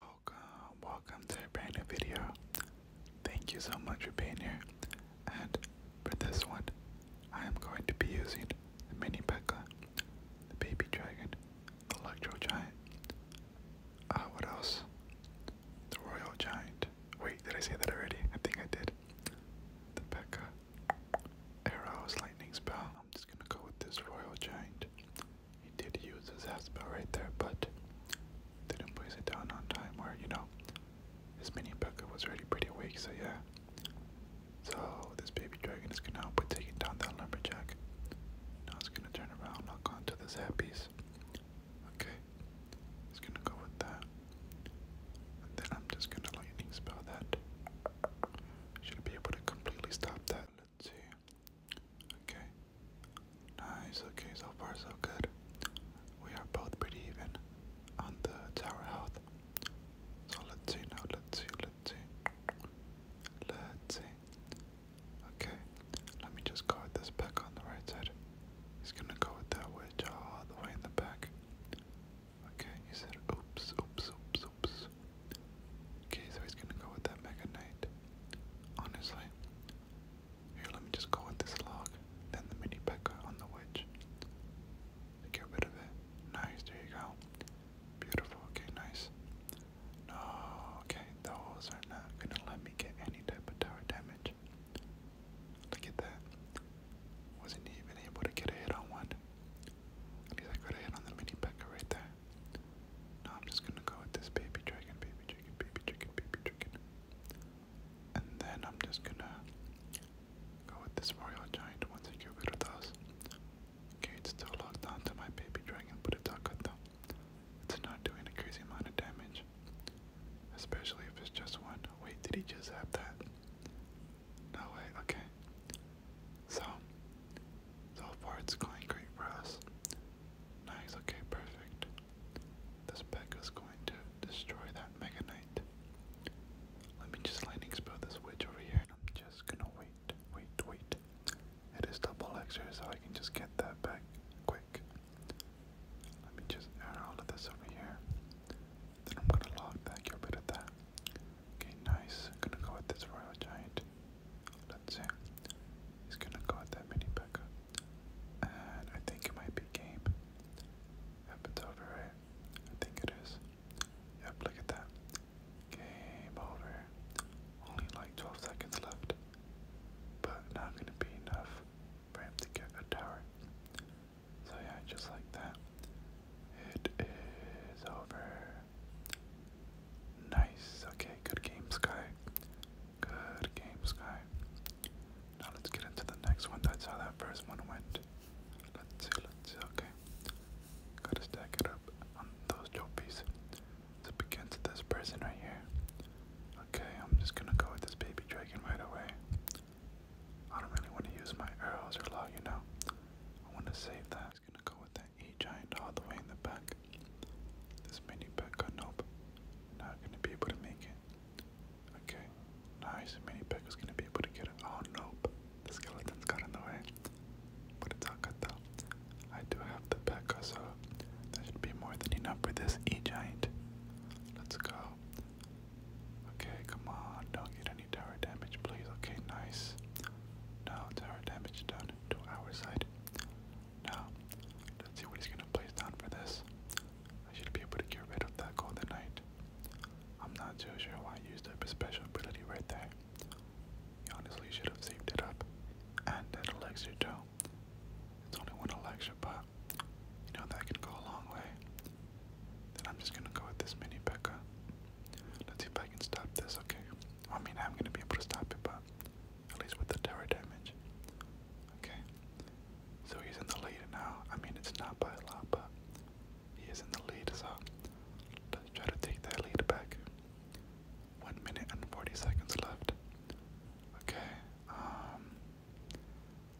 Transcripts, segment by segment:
Welcome, welcome to a brand new video. Thank you so much for being here. And for this one, I am going to be using the Mini Pekka, the Baby Dragon, the Electro Giant. Uh, what else? The Royal Giant. Wait, did I say that already? I think I did. The Pekka, Arrows, Lightning Spell. I'm just gonna go with this Royal Giant. He did use his Aspel right there, but didn't place it down on time where, you know, his mini P.E.K.K.A was already pretty weak, so yeah. So this baby dragon is gonna help with taking down that lumberjack. Now it's gonna turn around, knock onto this hat piece. Okay. It's gonna go with that. then I'm just gonna lightning spell that. Should be able to completely stop that. Let's see. Okay. Nice. Okay, so far so good. We are both pretty even on the tower health. So let's see now. Let's see. Let's see. Let's see. Okay. Let me just go with this back on the right side. He's gonna go with that wedge all the way in the back. Okay, he said oops, oops, oops, oops. Okay, so he's gonna go with that Mega Knight. Honestly, here, let me just go with this log, then the mini P.E.K.K.A. on the witch. get rid of it. Nice, there you go. Beautiful, okay, nice. No, okay, those are not gonna let me get any type of tower damage. Look at that. Wasn't even able to get a hit on one. At least I got a hit on the mini P.E.K.K.A. right there. No, I'm just gonna go with this baby dragon, baby dragon, baby dragon, baby dragon. And then I'm just gonna go with this royal giant once I get rid of those. Okay, it's still locked on to my baby dragon, but it's all good though. It's not doing a crazy amount of damage. Especially if it's just one. Wait, did he just have that? No way, okay. So so far it's going great for us. Nice, okay, perfect. This Peck is going to destroy that Mega Knight. Let me just lightning spell this witch over here. I'm just gonna wait, wait, wait. It is double extra, so I can just get that back quick. Let me just add all of this over here. Then I'm gonna log that, get rid of that. Okay, nice. gonna go with this Royal Giant. Let's see. He's gonna go at that mini P.E.K.K.A. And I think it might be game. Yep, it's over, right? I think it is. Yep, look at that. Game over. Only like 12 seconds left. But not gonna be enough for him to get a tower. So yeah, just like that. It is over. Nice. Okay, good game, Sky. Good game, Sky. Now let's get into the next one. That's how that first one went. Let's see, let's see, okay. Gotta stack it up on those trophies. So it begins this person right here. Okay, I'm just gonna go with this baby dragon right away. I don't really want to use my arrows or log, you know. I want to save that. I'm just gonna go with that E giant all the way in the back pack. This mini pack got nope. Not gonna be able to make it. Okay. Nice. Mini pack was gonna be able to get it. Oh nope. The skeleton got in the way. But it's all good though. I do have the pack so that should be more than enough for this E giant. Let's go. Okay, come on. Don't get any tower damage, please. Okay, nice. No tower damage done to our side. Now, let's see what he's going to place down for this. I should be able to get rid of that golden knight. I'm not too sure why I used up his special ability right there. He honestly should have saved it up. And that elixir too. It's only one elixir, but you know that can go a long way. Then I'm just gonna go with this mini Becca. Let's see if I can stop this, okay? I mean, I'm gonna be able to stop it, but at least with the terror damage. Okay, so he's in the lead now. I mean, it's not by a lot, but he is in the lead, so let's try to take that lead back. 1 minute and 40 seconds left. Okay, um,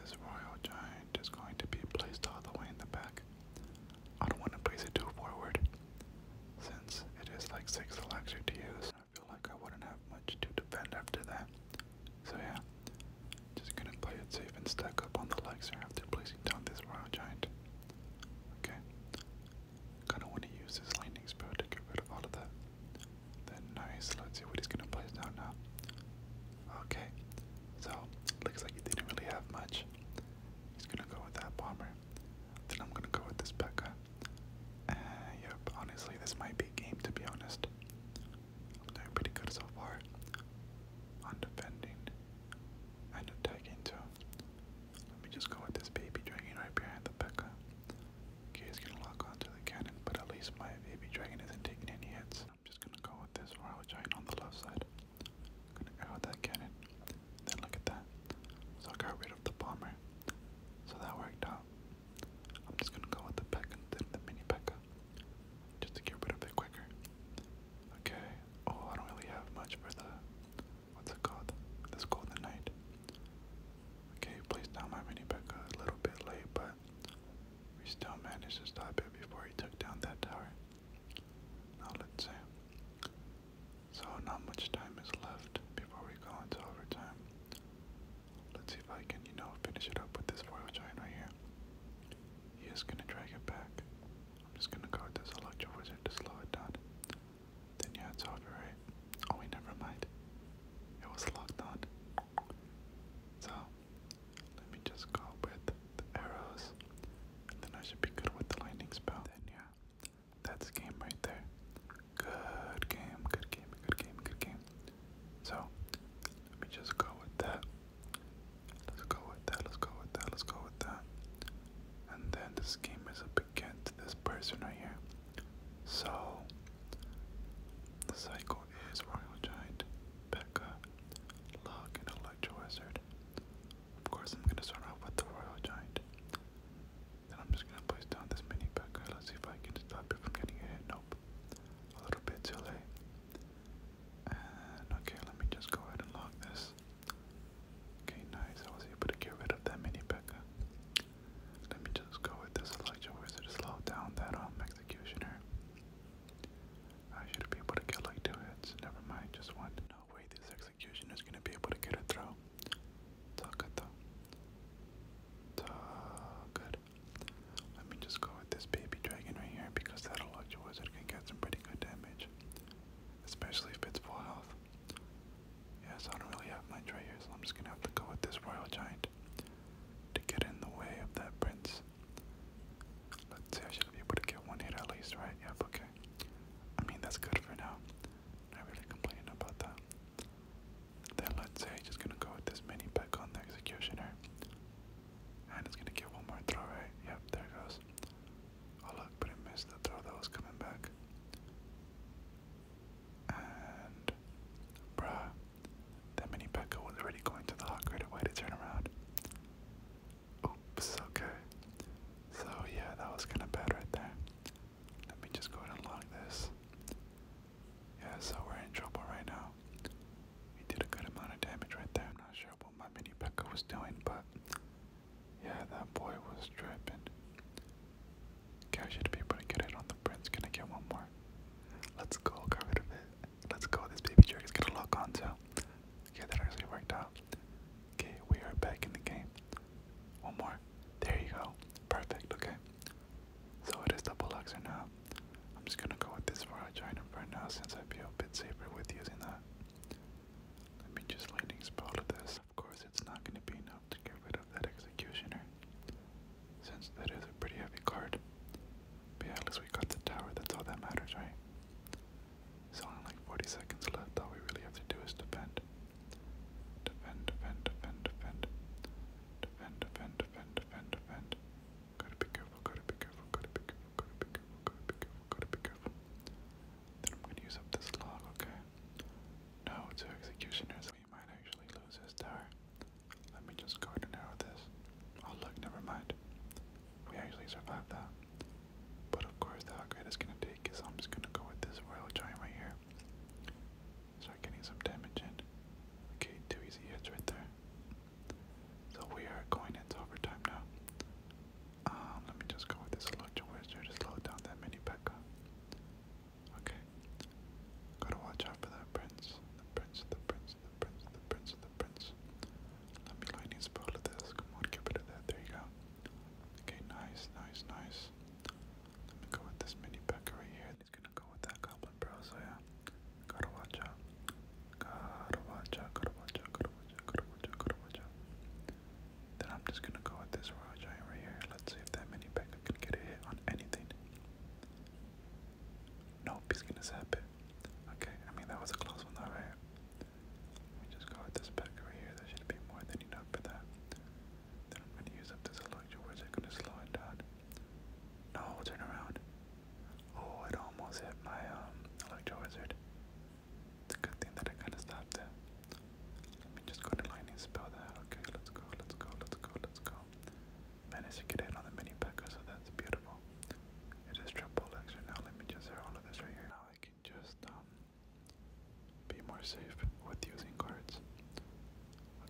this royal giant is going to be placed all the way in the back. I don't want to place it too forward since it is like 6 elixir to use. I feel like I wouldn't have much to defend after that. So yeah, just gonna play it safe and stack up on the Lexer after placing down this Royal Giant. Okay, kinda wanna use his Lightning Spell to get rid of all of that. Then nice, let's see what he's gonna place down now. Okay, so looks like he didn't really have much. He's gonna go with that Bomber. Then I'm gonna go with this Pekka. Uh, honestly, this might be game to be honest. I'm doing pretty good so far on defending and attacking too. Let me just go with this baby dragon right behind the Pekka. Okay, he's lock onto the cannon, but at least my baby dragon isn't taking any hits. I'm just gonna go with this royal giant on the left side. gonna arrow that cannon. Then look at that. So I got rid of the bomber. So that worked out. I'm just gonna go with the Pekka and of the mini Pekka. Just to get rid of it quicker. Okay. Oh, I don't really have much for the what's it called? This golden night. Okay, placed down my mini Pekka a little bit late, but we still managed to stop it before he took down that tower. Now let's see. So not much time is left before we go into overtime. Let's see if I can, you know, finish it up with this royal giant right here. He is gonna drag it back. I'm just gonna guard this electro wizard to slow it down. Then yeah, it's over, right? Oh wait, never mind. It was locked on. So let me just go with the arrows. And then I should be good with the lightning spell. Then yeah. That's game right there. Good game, good game, good game, good game. So, let me just go with that. Let's go with that, let's go with that, let's go with that. And then this game is up against this person right here. So, the cycle is Royal Giant, Becca, Locke, and Electro Wizard. Of course, I'm gonna start off with the Royal Giant. Then I'm just gonna place down this mini backer. Let's see if I can stop it from getting a hit. Nope. A little bit silly. And okay, let me just go ahead and lock this. Okay, nice. I was able to get rid of that mini backer. Let me just go with this Elijah Wizard to slow down that um executioner. I should be able to get like two hits. Never mind, just one. No way this executioner is gonna be able to get it through. It's okay though good. Let me just go with this baby dragon right here because that electro wizard can get some pretty good damage. Especially if it's full health. Yeah, so I don't really have much right here, so I'm just gonna have to go with this royal giant to get in the way of that prince. Let's see, I should be able to get one hit at least, right? Yep, okay. I mean, that's good for now. Not really complaining about that. Then let's say just gonna go with this mini pick on the executioner. And it's gonna get one more throw, right? Yep, there it goes. Oh look, but it missed the throw that was coming back. And bruh. That mini Pekka was already going to the hawk right to turn around. Oops, okay. So yeah, that was kinda bad right there. Let me just go and log this. Yeah, so we're in trouble right now. We did a good amount of damage right there. I'm not sure what my mini Pekka was doing, but yeah, that boy was tripping. Okay, I should be able to get it on the prince. Gonna get one more? Let's go, got rid of it. Let's go, this baby jerk is gonna lock on too. Okay, that actually worked out. Okay, we are back in the game. One more. There you go. Perfect, okay. So it is the Poloxer now. I'm just gonna go with this for a giant for now since I feel a bit safer with using that. Let me just lightning spell to this. Of course it's not gonna be enough to get rid of that executioner. Since that is a pretty heavy card. But yeah, at least we got the tower, that's all that matters, right? So only like 40 seconds left, all we really have to do is defend. Defend, defend, defend, defend. Defend, defend, defend, defend, defend. Gotta be careful, gotta be careful, gotta be careful, gotta be careful, gotta be careful, gotta be careful. Then I'm gonna use up this log, okay? No, two executioners. We might actually lose this tower. Let me just go ahead and arrow this. Oh look, never mind. We actually survived that. But of course the upgrade is gonna take is I'm just gonna go with this royal giant right here. Start getting some damage in. Okay, two easy hits right there. So we are going into overtime now. Um, let me just go with this Electro Wizard to slow down that mini Pekka. Okay. Gotta watch out for that prince. The prince, the prince, the prince, the prince, the prince. Let me lightning spell to this. Come on, get rid of that. There you go. Okay, nice, nice, nice. Let me go with this mini Pekka right here. He's gonna go with that goblin, bro. So yeah, gotta watch out. Gotta Then I'm just gonna go with this royal giant right here. Let's see if that mini packer can get a hit on anything. Nope, he's gonna zap it. Okay, I mean that was a close one though, right? Let just go with this pack right here. There should be more than enough for that. Then I'm gonna use up this electro wizard, gonna slow it down. No, oh, turn around. Oh, it almost hit my um, electro wizard. It's a good thing that I kind of stopped it. Let me just go to lightning spell that. Okay, let's go, let's go, let's go, let's go. Managed to get in on the mini packer, so that's beautiful. It is triple lecture now. Let me just zero all of this right here. Now I can just um, be more safe with using cards.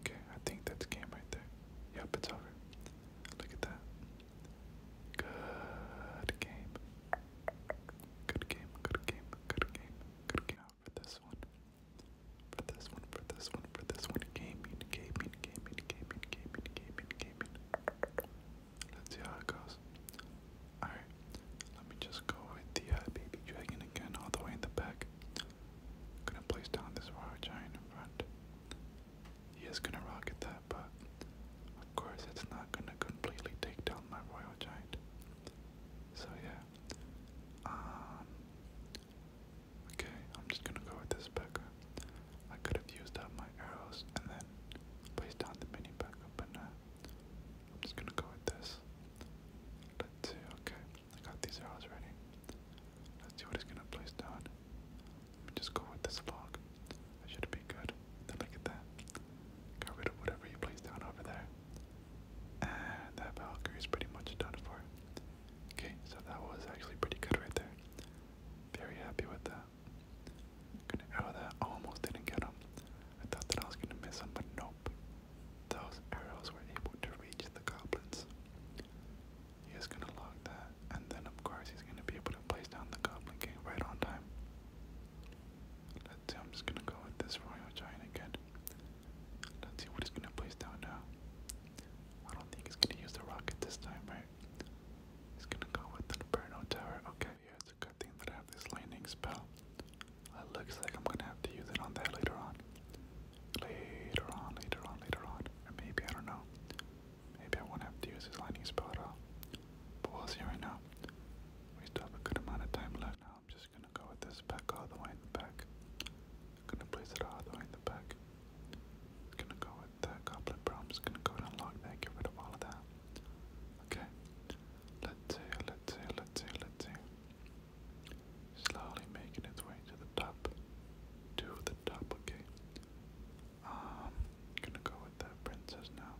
Okay, I think that's game right there. Yep, it's over. Look at that. Good game. Good game, good game, good game, Now for this one. For this one, for this one, for this one. Gaming, gaming, gaming, gaming, gaming, gaming, Let's see how it goes. Alright, let me just go with the uh, baby dragon again, all the way in the back. Gonna place down this Wario Giant in front. He is gonna rocket that, but of course it's not gonna completely take down my Royal Giant. So yeah. Um, okay, I'm just gonna go with this Becca. I could have used up my arrows and then placed down the mini Becca, but nah. I'm just gonna go with this. Let's see, okay. I got these arrows ready. Let's see what he's gonna place down. Let me just go with this log. should be good. look at that. Got rid of whatever he placed down over there. And that Valkyrie is pretty much done for. Okay, so that was actually pretty good right there. Very happy with that. going that. almost didn't get him. I thought that I was gonna miss him, but nope. Those arrows were able to reach the goblins. He is gonna lock that, and then of course he's gonna be able to place down the Goblin King right on time. Let's see, I'm just gonna go with this Royal Giant again. Let's see what he's gonna place down now. I don't think he's gonna use the rocket this time, right? He's gonna go with the Inferno Tower. Okay, yeah, it's a good thing that I have this landing spell. It looks like I'm gonna have to use it on that later on later on, later on, later on. maybe, I don't know. Maybe I won't have to use his lightning spell But we'll see right now. We still have a good amount of time left now. I'm just gonna go with this back all the way in the back. gonna place it all the way in the back. Gonna go with that goblet bro. i gonna go and unlock that, get rid of all of that. Okay. Let's see, let's see, let's see, let's see. Slowly making its way to the top to the top, Um, gonna go with that princess now.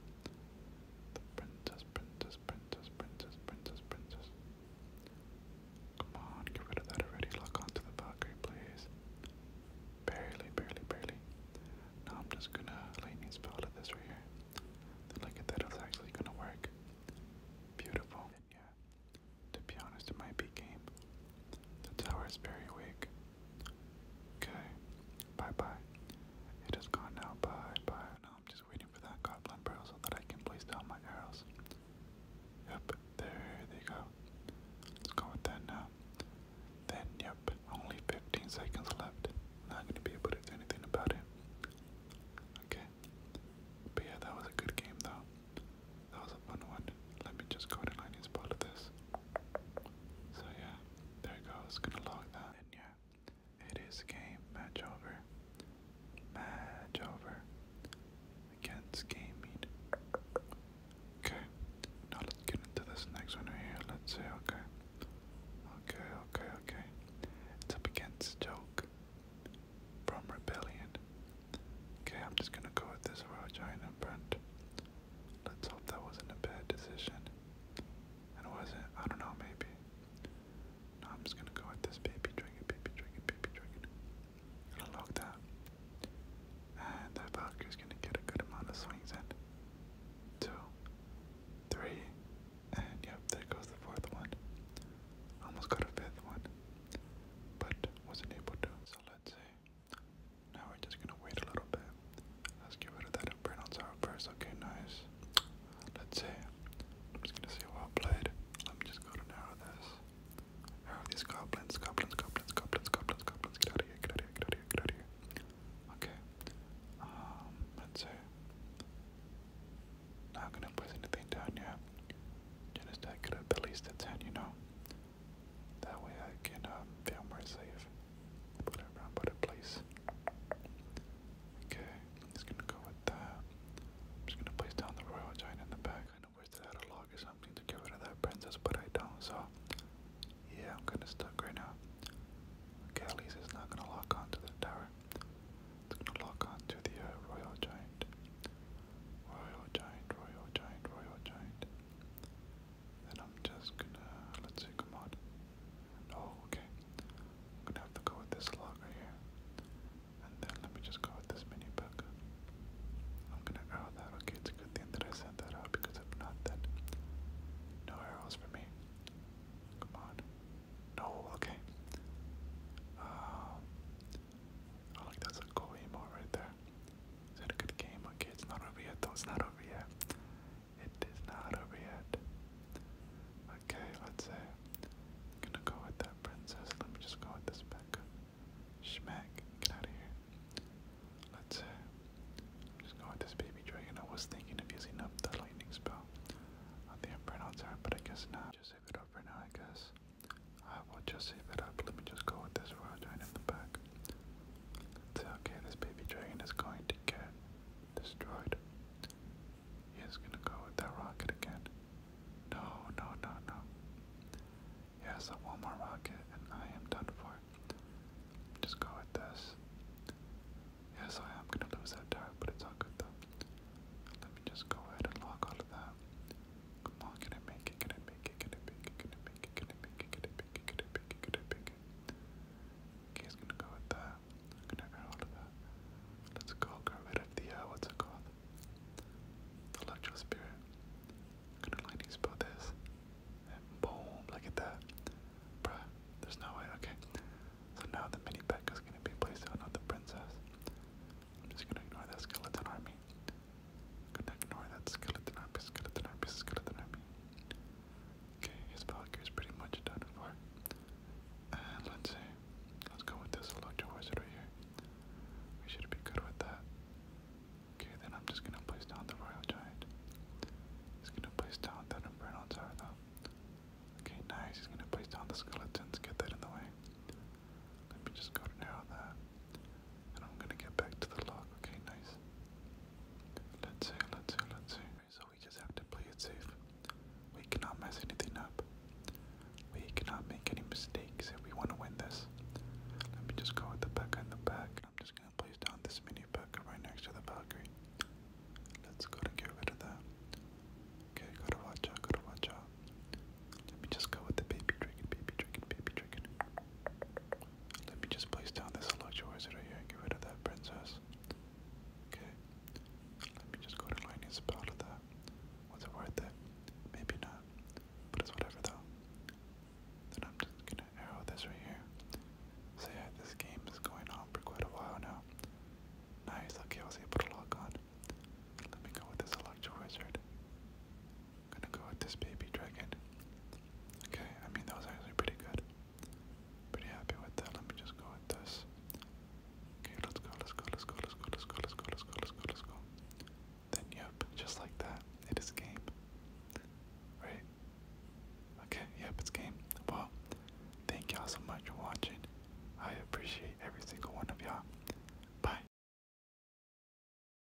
The princess, princess, princess, princess, princess, princess. Come on, get rid of that already. Lock onto the Valkyrie, please. Barely, barely, barely. Now I'm just gonna lightning spell out this right here. look at that, it's actually gonna work. Beautiful. yeah, to be honest, it might be game. The tower is very weak. Okay, bye bye. It has gone now, bye bye. Now I'm just waiting for that goblin barrel so that I can place down my arrows. Yep, there they go. Let's go with that now. Then, yep, only 15 seconds left. Not gonna be able to do anything about it. Okay. But yeah, that was a good game though. That was a fun one. Let me just go to Liney's part this. So yeah, there it goes. Gonna log that. And yeah, it is game. Match over. Match over. Against gaming. Okay. Now let's get into this next one here. Let's see, okay. Okay, okay, okay. It's up against Joke from Rebellion. Okay, I'm just gonna go with this raw giant Let's hope that wasn't a bad decision. And wasn't, I don't know, maybe. No, I'm just gonna go with this baby dragon, baby dragon, baby dragon. Gonna lock that. And that Valkyrie's gonna get a good amount of swings in. Two, three, and yep, there goes the fourth one. Almost got a fifth one, but wasn't able to. So let's see. Now we're just gonna wait a little bit. Let's get rid of that and burn on sour first. Okay, nice. Let's see. I'm just gonna see well played. Let me just go to narrow this. Narrow these goblins, goblins, goblins, goblins, goblins, goblins. Get out of here, get out of here, get out of here, get out of here. Okay. Um, let's see. Not gonna put anything down yet. Just that could have at least a 10, you know? That way I can um, feel more safe. Put it around, put it place. Okay, just gonna go with that. I'm just gonna place down the royal giant in the back. I know wish that had a log or something to get rid that princess, but I don't, so yeah, I'm kinda stuck right now. Okay, at not gonna lock onto the tower. It's gonna lock onto the uh, royal giant. Royal Giant, Royal Giant, Royal Giant. Then I'm just gonna, let's see, come on. Oh, okay. I'm gonna have to go with this log here. And then let me just go with this mini pack. I'm gonna arrow that, okay, it's a good thing that I sent that out because if not, then no arrows for me. Come on. No, okay. Um, I like that's a cool emote right there. Is that a good game? Okay, it's not over yet though, it's not over yet. It is not over yet. Okay, let's say gonna go with that princess. Let me just go with this Becca. Schmack, get out of here. Let's say I'm just going with this baby dragon. I was thinking of using up the lightning spell. I think I pronounced her, but I guess not. Just save it up for now, I guess. I will just save it up. Let me just go with this royal giant in the back. say, okay, this baby dragon is going to get destroyed. He is going to go with that rocket again. No, no, no, no. Yes, I want more rocket, and I am done for. Just go with this. Yes, I am going to lose that dart, but it's all good though. Let me just go ahead and lock all of that. Come on, can I make it? Can I make it? Can I make it? Can I make it? Can I make it? Can I make it? Can I make it? Can I make it? Okay, he's gonna go with that. gonna get rid of that. Let's go get the uh, what's it called? The electro spirit. gonna lightning spell this. And boom! Look at that, bruh. There's no way. Okay. So now the mini pack is gonna be placed on the princess. I'm just gonna ignore that skeleton army going ignore that skeleton army, skeleton army, skeleton army. Okay, his valkyrie is pretty much done for. And let's see. Let's go with this Electro Wizard right here. We should be good with that. Okay, then I'm just gonna place down the Royal Giant. He's gonna place down that Inferno Tower though. Okay, nice. He's gonna place down the skeletons, get that in the way. Let me just go to that and I'm gonna get back to the log. Okay, nice. Let's see, let's see, let's see. So we just have to play it safe. We cannot mess anything up. We cannot make any mistakes if we want to win this. Let me just go with the back and the back. I'm just gonna place down this mini Becca right next to the Valkyrie. Let's go and get rid of that. Okay, gotta watch out, gotta watch out. Let me just go with the baby dragon, baby dragon, baby dragon. Let me just place down this Electro Wizard right here and get rid of that princess. Okay. Let me just go to lightning spell with that. Was it worth it? Maybe not. But it's whatever though. Then I'm just gonna arrow this right here. So yeah, this game is going on for quite a while now. Nice, okay, I was able to log on. Let me go with this Electro Wizard. Gonna go with this baby dragon. Okay, I mean that was actually pretty good. Pretty happy with that. Let me just go with this. Okay, let's go, let's go, let's go, let's go, let's go, let's go, let's go, let's go, let's go. Then yep, just like that. It is game. Right? Okay, yep, it's game. Well, thank y'all so much for watching. I appreciate every single one of y'all. Bye.